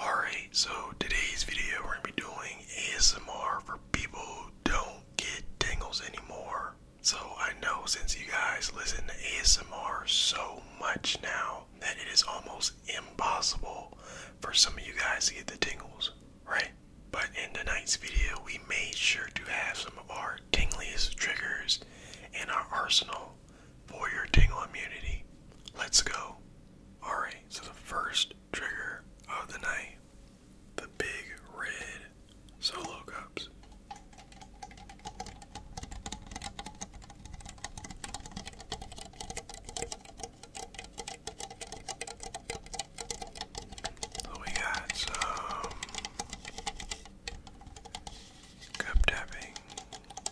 Alright, so today's video we're going to be doing ASMR for people who don't get tingles anymore. So I know since you guys listen to ASMR so much now that it is almost impossible for some of you guys to get the tingles, right? But in tonight's video, we made sure to have some of our tingliest triggers in our arsenal for your tingle immunity. Let's go. Alright, so the first trigger of the night the big red solo cups. So we got some cup tapping,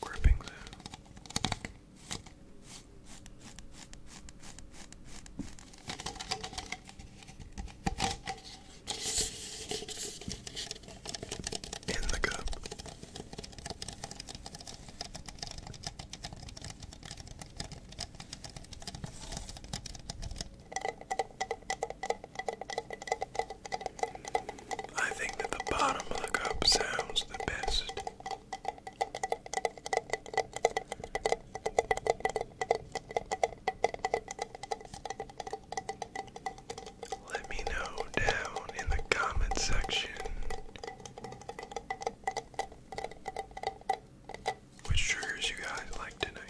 Gripping there. In the cup. I think that the bottom of the sounds the best. Let me know down in the comment section which triggers you guys like tonight?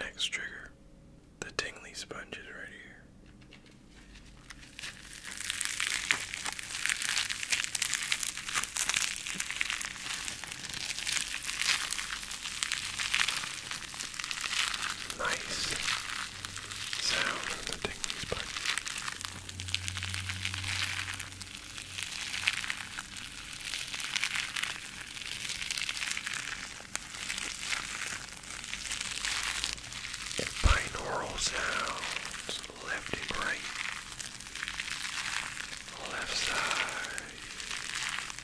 Next trigger, the tingly sponge is right here. Nice sound from the Dingley's bike. binaural sounds left and right, left side,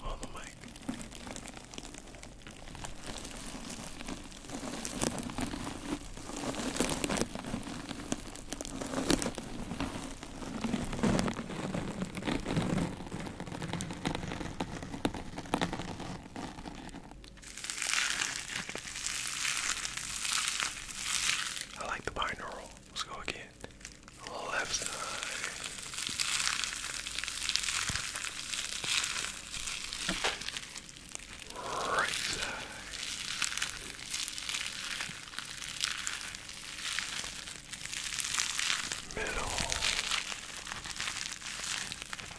On the mic. I like the binaural. Let's go again. Left side. Right side. Middle. Fred.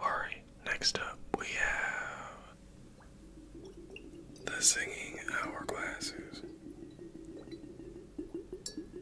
Alright, next up we have the singing hourglasses.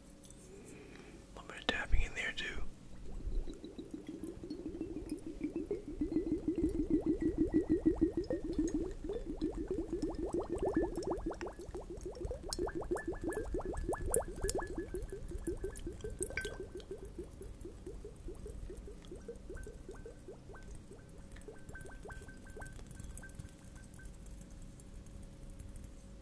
A little bit of tapping in there too.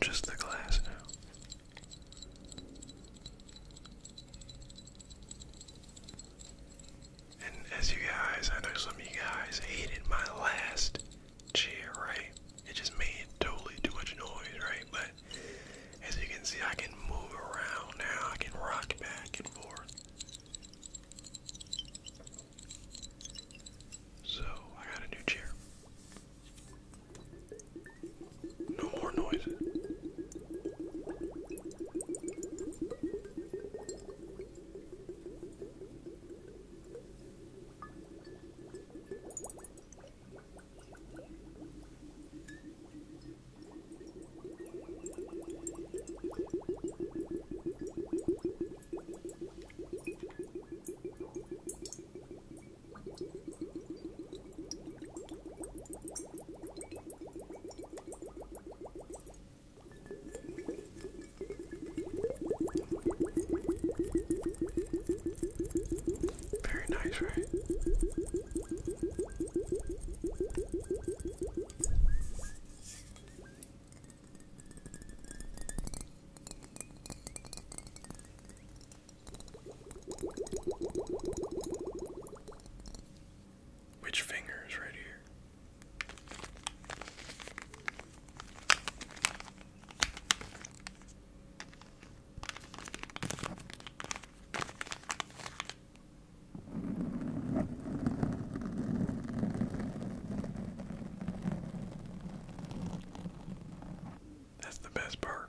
Just the glass now. And as you guys, I know some of you guys hated my last chair, right? It just made totally too much noise, right? But as you can see, I can move around now. I can rock back and forth. So I got a new chair. No more noises. Very nice, right? Which finger is right here? That's the best part.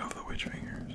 Of the witch fingers.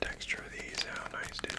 Texture of these, how nice, dude.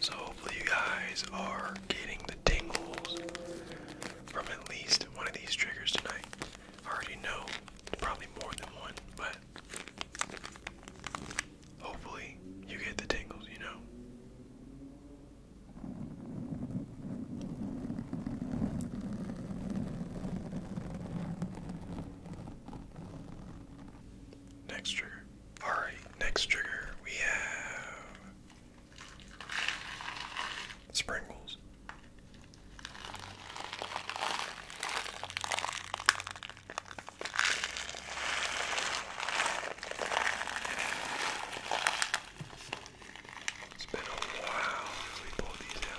So, hopefully, you guys are getting the tingles from at least one of these triggers tonight. I already know probably more than one, but hopefully, you get the tingles, you know. Next trigger. Alright, next trigger we have Sprinkles. It's been a while since we pulled these out.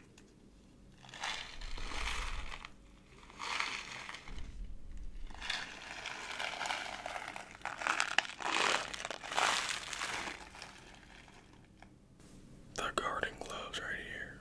The garden gloves right here.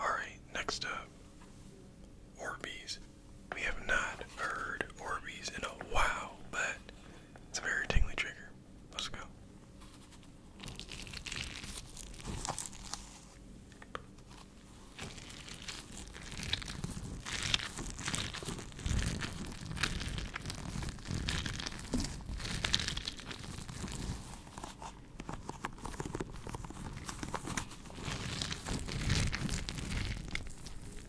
All right, next up, Orbeez we have not heard Orbeez in a while, but it's a very tingly trigger. Let's go.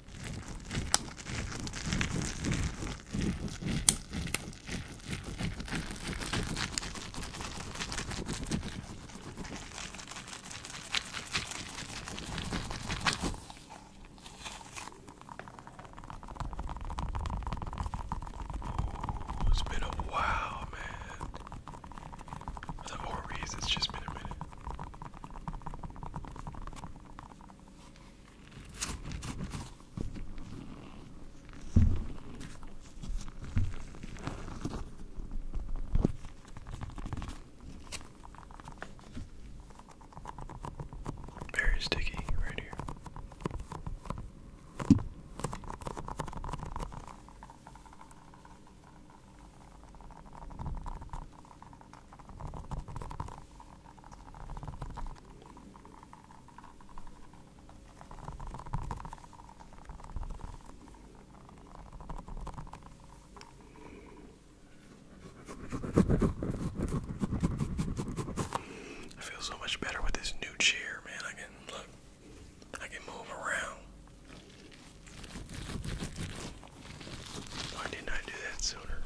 Oh, it's been a while, man. The Orbeez, it's just been very sticky right here. I feel so much better with this new chair, man. I can look, I can move around. Why didn't I do that sooner?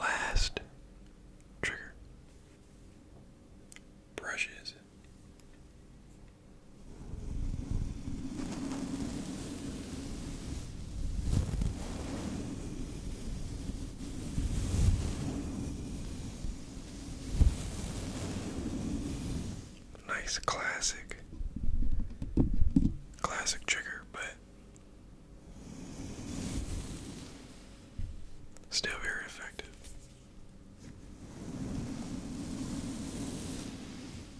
Last trigger brushes Nice classic, classic trigger, but still very effective.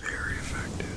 Very effective.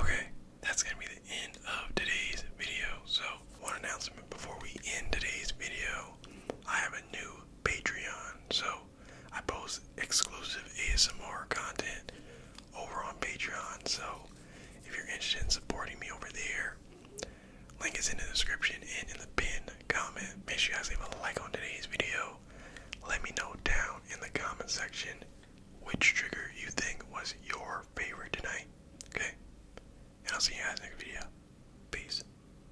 Okay, that's going to be the end of today's video. So, one announcement before we end today's video I have a new Patreon. So I post exclusive ASMR content over on Patreon. So if you're interested in supporting me over there, link is in the description and in the pinned comment. Make sure you guys leave a like on today's video. Let me know down in the comment section which trigger you think was your favorite tonight. Okay? And I'll see you guys the next video. Peace.